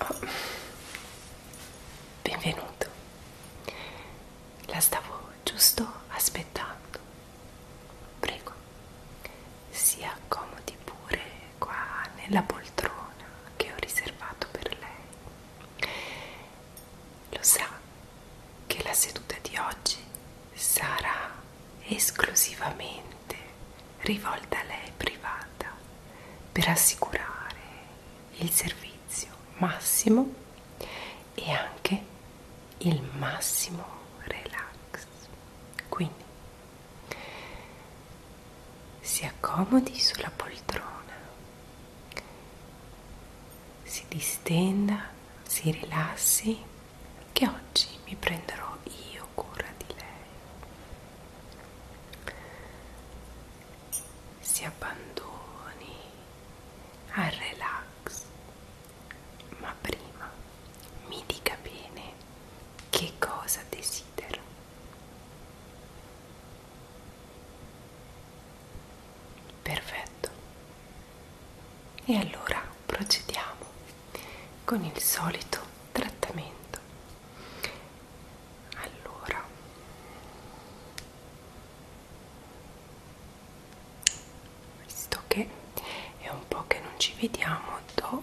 Oh. Benvenuto. La stavo giusto aspettando. Prego. Si accomodi pure qua nella poltrona che ho riservato per lei. Lo sa che la seduta di oggi sarà esclusivamente rivolta a lei privata per assicurare il servizio massimo e anche il massimo relax. Quindi si accomodi sulla poltrona si distenda, si rilassi, che oggi mi prenderò io cura di lei. Si abbandoni al relax, ma prima mi dica bene che cosa desidera. Perfetto. E allora procediamo con il solito trattamento. Allora visto che è un po' che non ci vediamo, do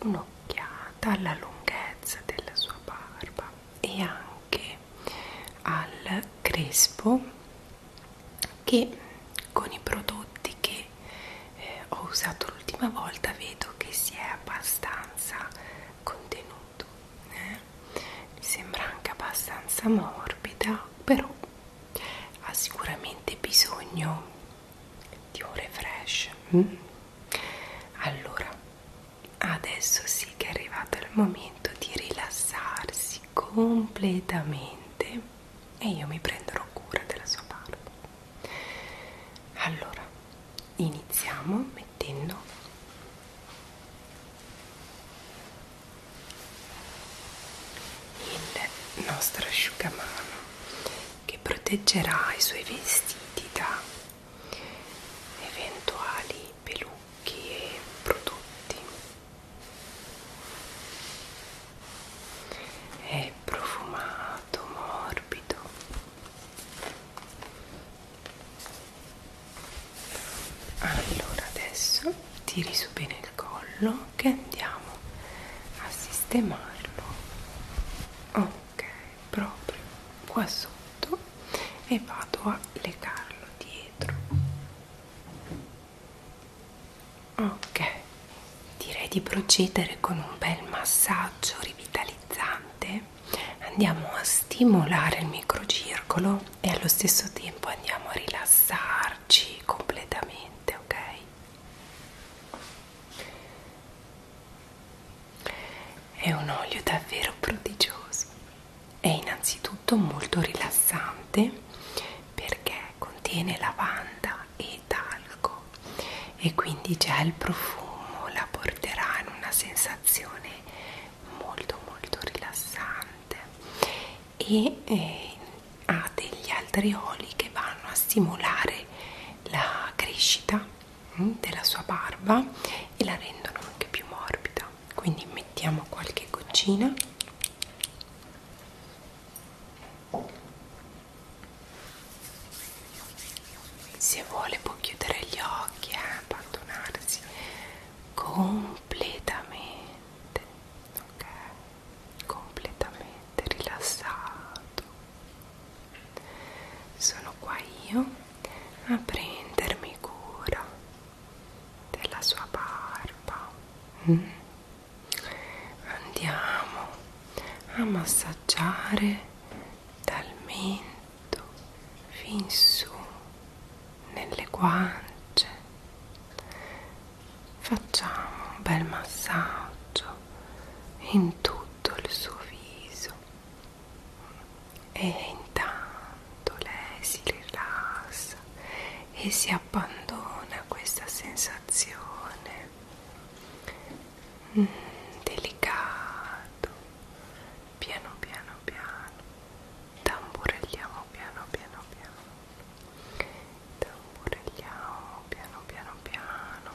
un'occhiata alla lunghezza della sua barba e anche al crespo che con i prodotti che eh, ho usato l'ultima volta vedo che si è abbastanza contenuto eh? mi sembra anche abbastanza morbida però ha sicuramente bisogno di un refresh mm? allora Adesso sì che è arrivato il momento di rilassarsi completamente e io mi prenderò cura della sua barba. Allora, iniziamo mettendo il nostro asciugamano che proteggerà i suoi vestiti da eventuali pelucchi e prodotti è profumato, morbido allora adesso tiri su bene il collo che andiamo a sistemarlo ok proprio qua sotto e vado a legarlo dietro ok direi di procedere con un bel massaggio rivitalizzante andiamo a stimolare il microcircolo e allo stesso tempo andiamo a rilassarci completamente ok è un olio davvero prodigioso, è innanzitutto molto rilassante perché contiene lavanda e talco e quindi già il profumo la porterà in una sensazione molto molto rilassante e eh, ha degli altri oli che vanno a stimolare la crescita della sua barba e la rendono anche più morbida quindi mettiamo qualche goccina se vuole può chiudere gli occhi e eh, abbandonarsi completamente ok completamente rilassato sono qua io a prendermi cura della sua barba mm? andiamo a massaggiare dal mento fin su nelle guance facciamo un bel massaggio in tutto il suo viso e intanto lei si rilassa e si abbandona a questa sensazione mm, delicato piano piano piano tamburelliamo piano piano piano tamburelliamo piano piano piano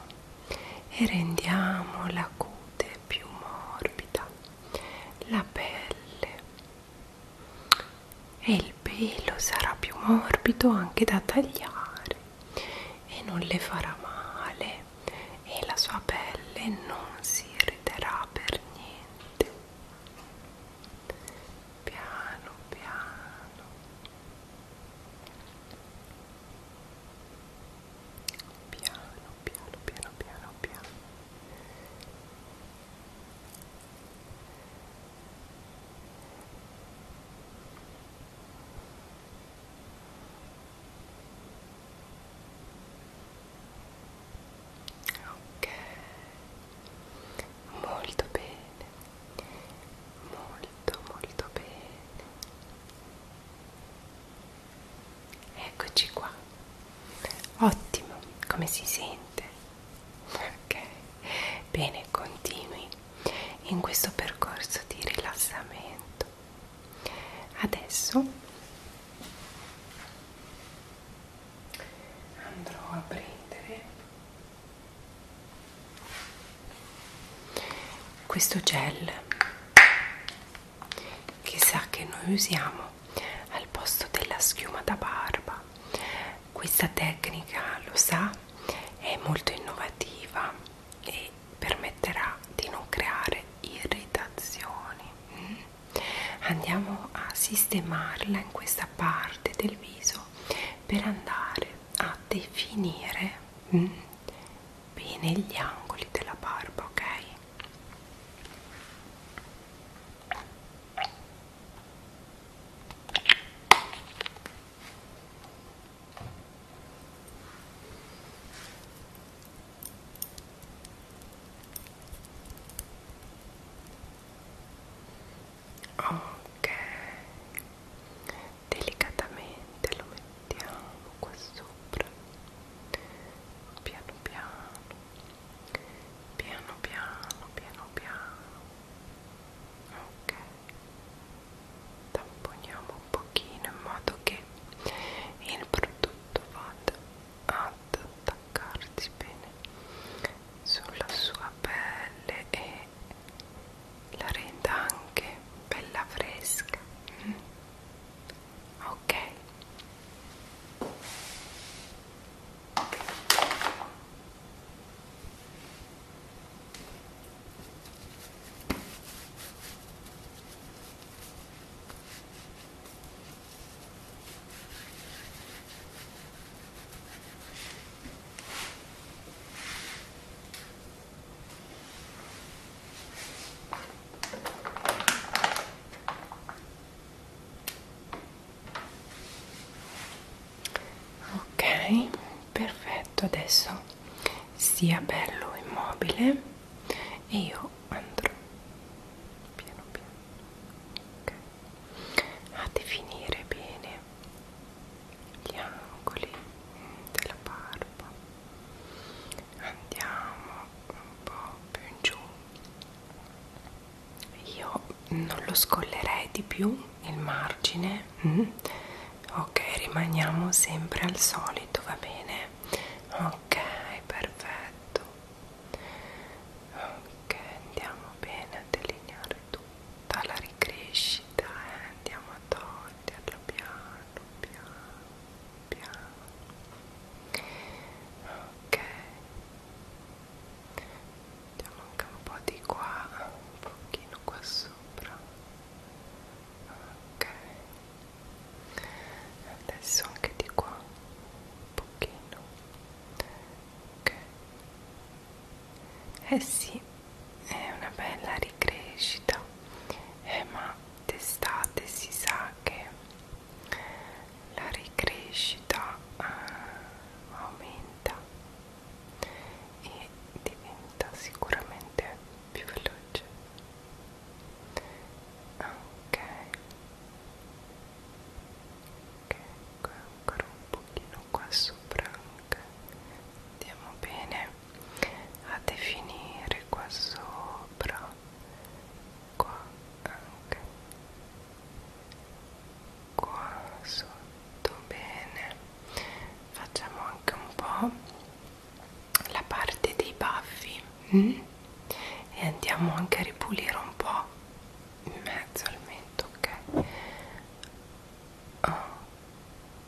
e rendiamo la cute pelle più morbida la pelle e il pelo sarà più morbido anche da tagliare e non le farà male e la sua pelle non si irriterà per niente piano piano piano piano piano piano piano ok molto bene molto molto bene Eccoci qua. Ottimo, come si sente? Ok, bene, continui in questo percorso di rilassamento. Adesso andrò a prendere questo gel chissà che noi usiamo al posto della schiuma da barba questa tecnica lo sa è molto innovativa e permetterà di non creare irritazioni mm? andiamo a sistemarla in questa parte del viso per andare a definire mm, bene gli angoli della barba, ok? Ok, delicatamente lo mettiamo qua sopra piano piano piano piano piano piano ok tamponiamo un pochino in modo che il prodotto vada ad attaccarsi bene sulla sua pelle e la renda anche bella fresca mm. ok ok perfetto adesso sia bello immobile e io andrò piano piano okay. a definire bene gli angoli della barba andiamo un po' più in giù io non lo scollerei di più il margine mm. ok rimaniamo sempre al solito va bene ok perfetto ok andiamo bene a delineare tutto dalla ricrescita e eh? andiamo a toglierlo piano piano piano ok andiamo anche un po' di qua un pochino qua sopra ok adesso anche di qua un pochino ok eh sì è una bella ricrescita eh, ma d'estate si sa che la ricrescita eh, aumenta e diventa sicuramente più veloce ok ok ancora un pochino fanno qua sopra anche andiamo bene a definire qua sopra qua anche qua sotto bene facciamo anche un po' la parte dei baffi mm? e andiamo anche a ripulire un po' in mezzo al mento ok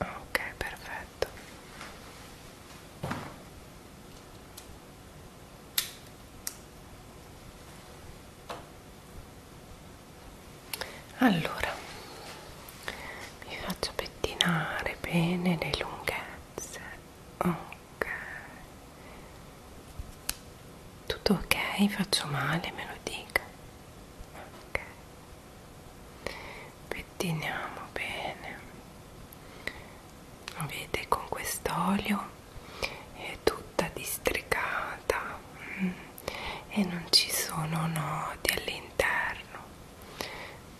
Ok, perfetto. Allora mi faccio pettinare bene le lunghezze. Ok ok tutto ok faccio male me lo dica ok pettiniamo bene vede con quest'olio è tutta districata mm, e non ci sono nodi all'interno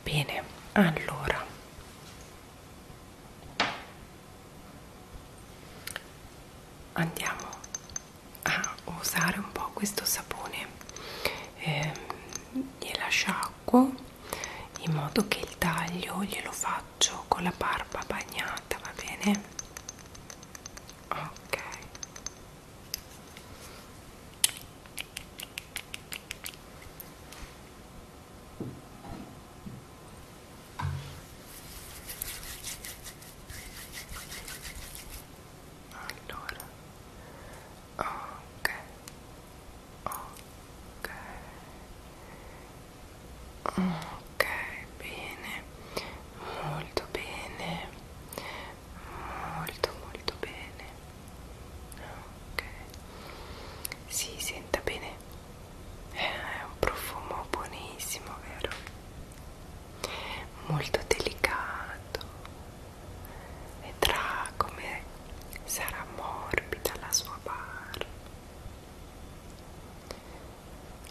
bene allora andiamo a usare un po' questo sapone eh, gliela sciacquo in modo che il taglio glielo faccio con la barba bagnata va bene ok allora, ok, ok, ok, bene, molto bene, molto molto bene, ok, si senta bene eh, è un profumo buonissimo vero molto delicato e vedrà come sarà morbida la sua barba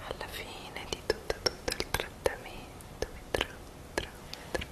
alla fine di tutto tutto il trattamento vedrà vedrà vedrà, vedrà.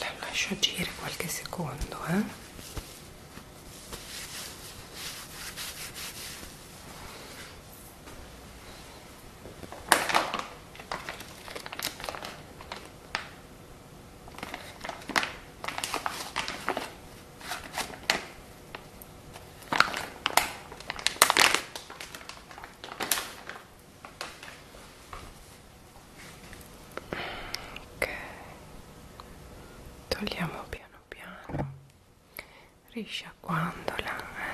la lascio agire qualche secondo eh ok togliamo piano piano risciacquandola eh.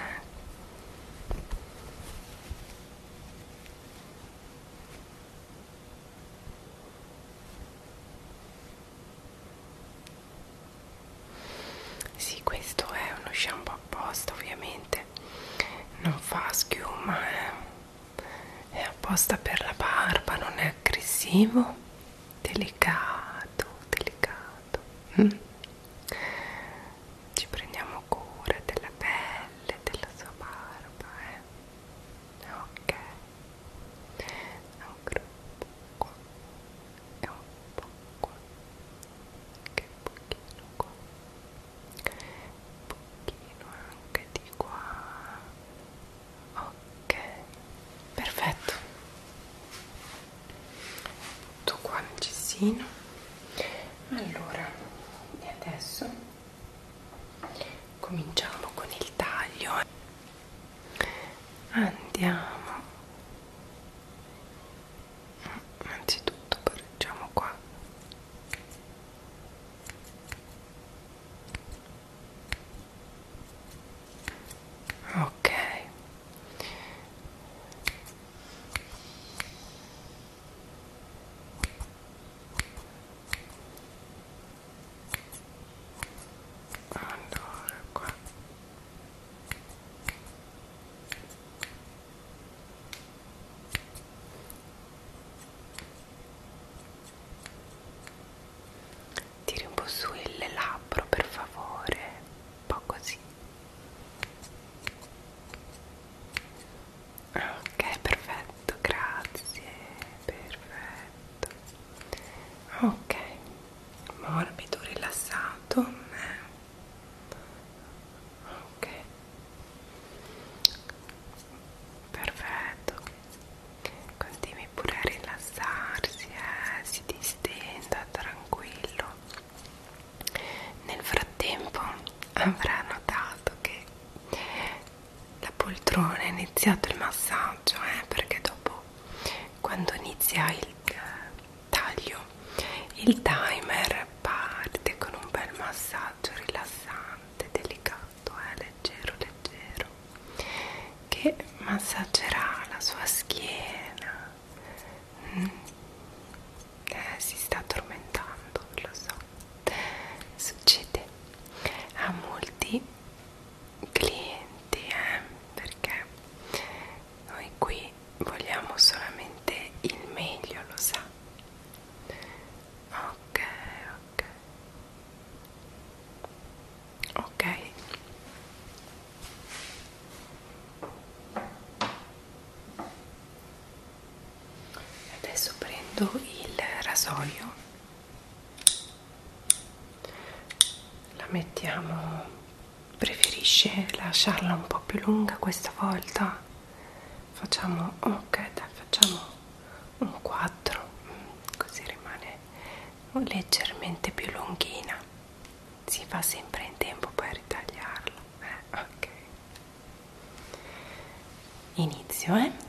Sì, questo è uno shampoo apposta, ovviamente non fa schiuma, eh. è apposta per la barba, non è aggressivo, delicato, delicato. Mm. Ci prendiamo cura della pelle, della sua barba, eh. Ok. Ancora un po' qua e un po' qua che un pochino qua un pochino anche di qua ok perfetto tutto qua nel cestino allora e adesso cominciamo con il taglio andiamo innanzitutto pareggiamo qua ok allora qua Tiri un po' su il labbro per favore, un po' così. Ok, perfetto, grazie, perfetto. Ok, morbido, rilassato ok perfetto continui pure a rilassarsi eh? si distenda tranquillo nel frattempo avrà notato che la poltrona ha iniziato il massaggio eh? perché dopo quando inizia il eh, taglio il timer parte con un bel massaggio rilassante delicato eh, leggero leggero che massaggerà la sua schiena mm. eh, si sta addormentando lo so succede a molti clienti eh, perché noi qui vogliamo solamente il meglio lo sa ok ok ok adesso prendo il rasoio la mettiamo preferisce lasciarla un po' più lunga questa volta facciamo ok dai facciamo un 4 mm, così rimane leggermente più lunghina si fa sempre in tempo poi a ritagliarla eh, ok inizio eh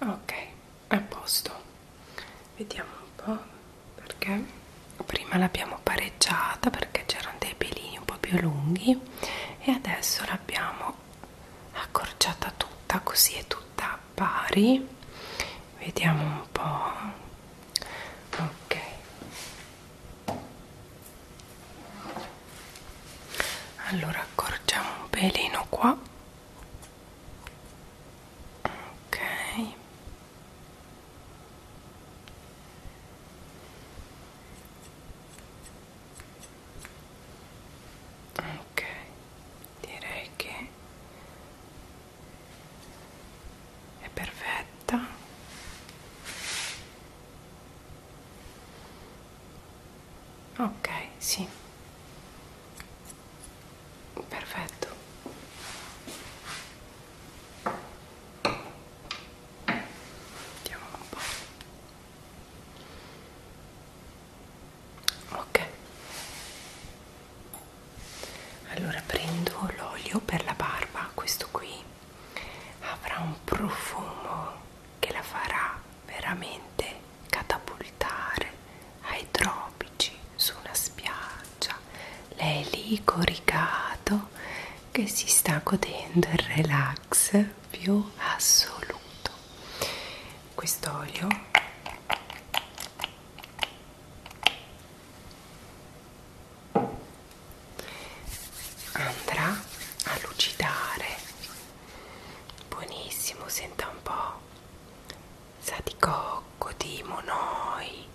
ok a posto vediamo un po' perché prima l'abbiamo pareggiata perché c'erano dei pelini un po' più lunghi e adesso l'abbiamo accorciata tutta così è tutta pari vediamo un po' ok allora accorciamo un pelino qua ok Ok, direi che è perfetta. Ok, sì perfetto vediamo un po' ok allora prendo l'olio per la barba questo qui avrà un profumo che la farà veramente catapultare ai tropici su una spiaggia lei è lì coricato che si sta godendo il relax più assoluto quest'olio andrà a lucidare buonissimo senta un po' sa di cocco, di monoi,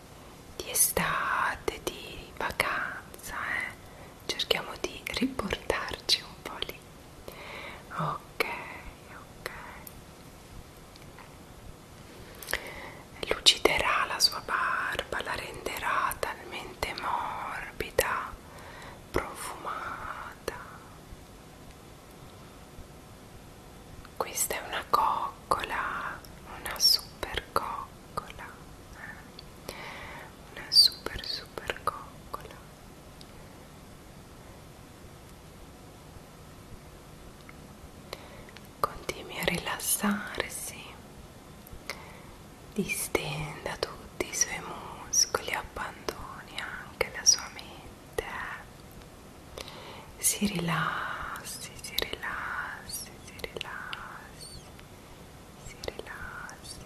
di estate, di vacanza, eh? cerchiamo di riportarci un po' lì. Ok, ok. Luciderà la sua barba, la renderà talmente morbida, profumata. Questa è una coccola, una super coccola, eh? una super super coccola. Continui a rilassarsi, distenda tutti i suoi muscoli, abbandoni anche la sua mente si rilassi, si rilassi, si rilassi, si rilassi,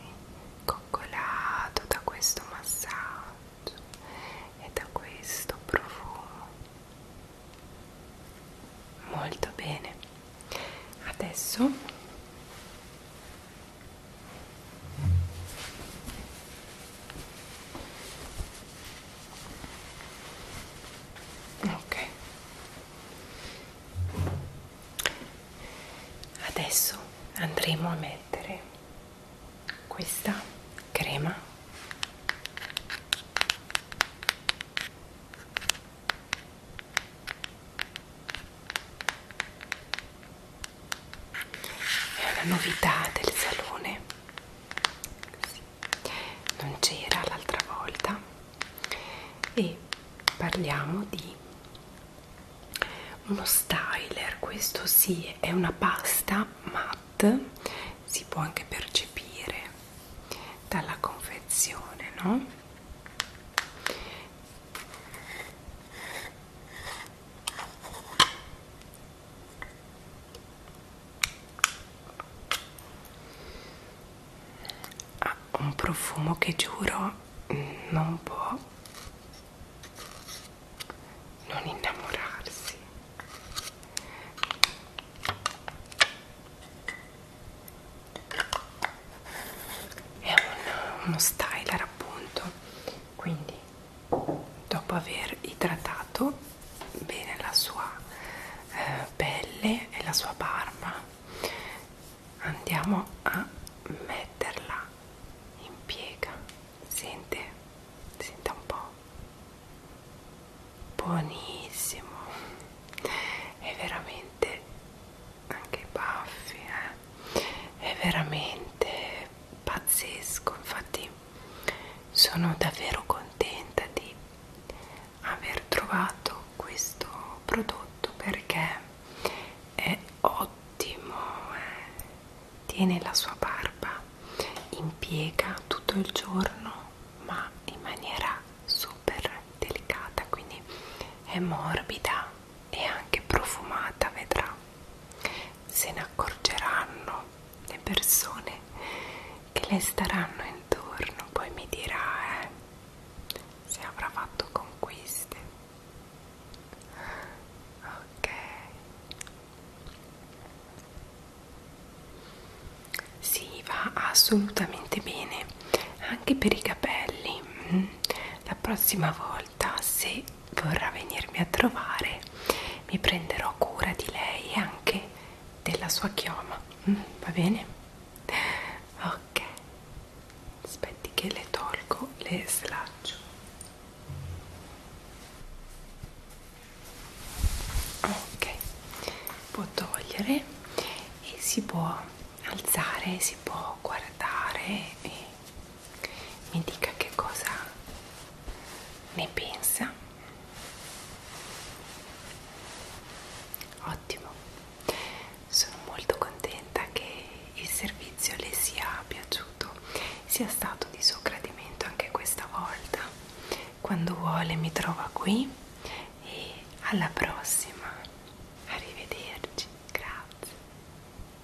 coccolato da questo massaggio e da questo profumo. Molto bene. Adesso Ok. Adesso andremo a mettere questa crema è una novità del salone sì. non c'era l'altra volta e parliamo di uno styler questo sì è una pasta matte si può anche percepire dalla confezione no ha un profumo che giuro non può non innamorarsi è un, uno styler appunto quindi dopo aver idratato bene la sua eh, pelle e la sua barba andiamo a metterla in piega sente senta un po buonissimo è veramente anche i baffi eh? è veramente pazzesco infatti sono davvero contenta di aver trovato questo prodotto perché è ottimo eh. tiene la sua barba impiega tutto il giorno ma in maniera super delicata quindi è morbida e anche profumata vedrà se ne accorgeranno le persone che le staranno intorno, poi mi dirà eh, se avrà fatto conquiste. Ok. Si va assolutamente bene anche per i capelli. Mm. La prossima volta se vorrà venirmi a trovare mi prenderò cura di lei e anche della sua chioma mm, va bene ok aspetti che le tolgo le slaccio ok può togliere e si può alzare si può guardare e mi dica che cosa ne pensa ottimo sono molto contenta che il servizio le sia piaciuto sia stato di suo gradimento anche questa volta quando vuole mi trova qui e alla prossima arrivederci grazie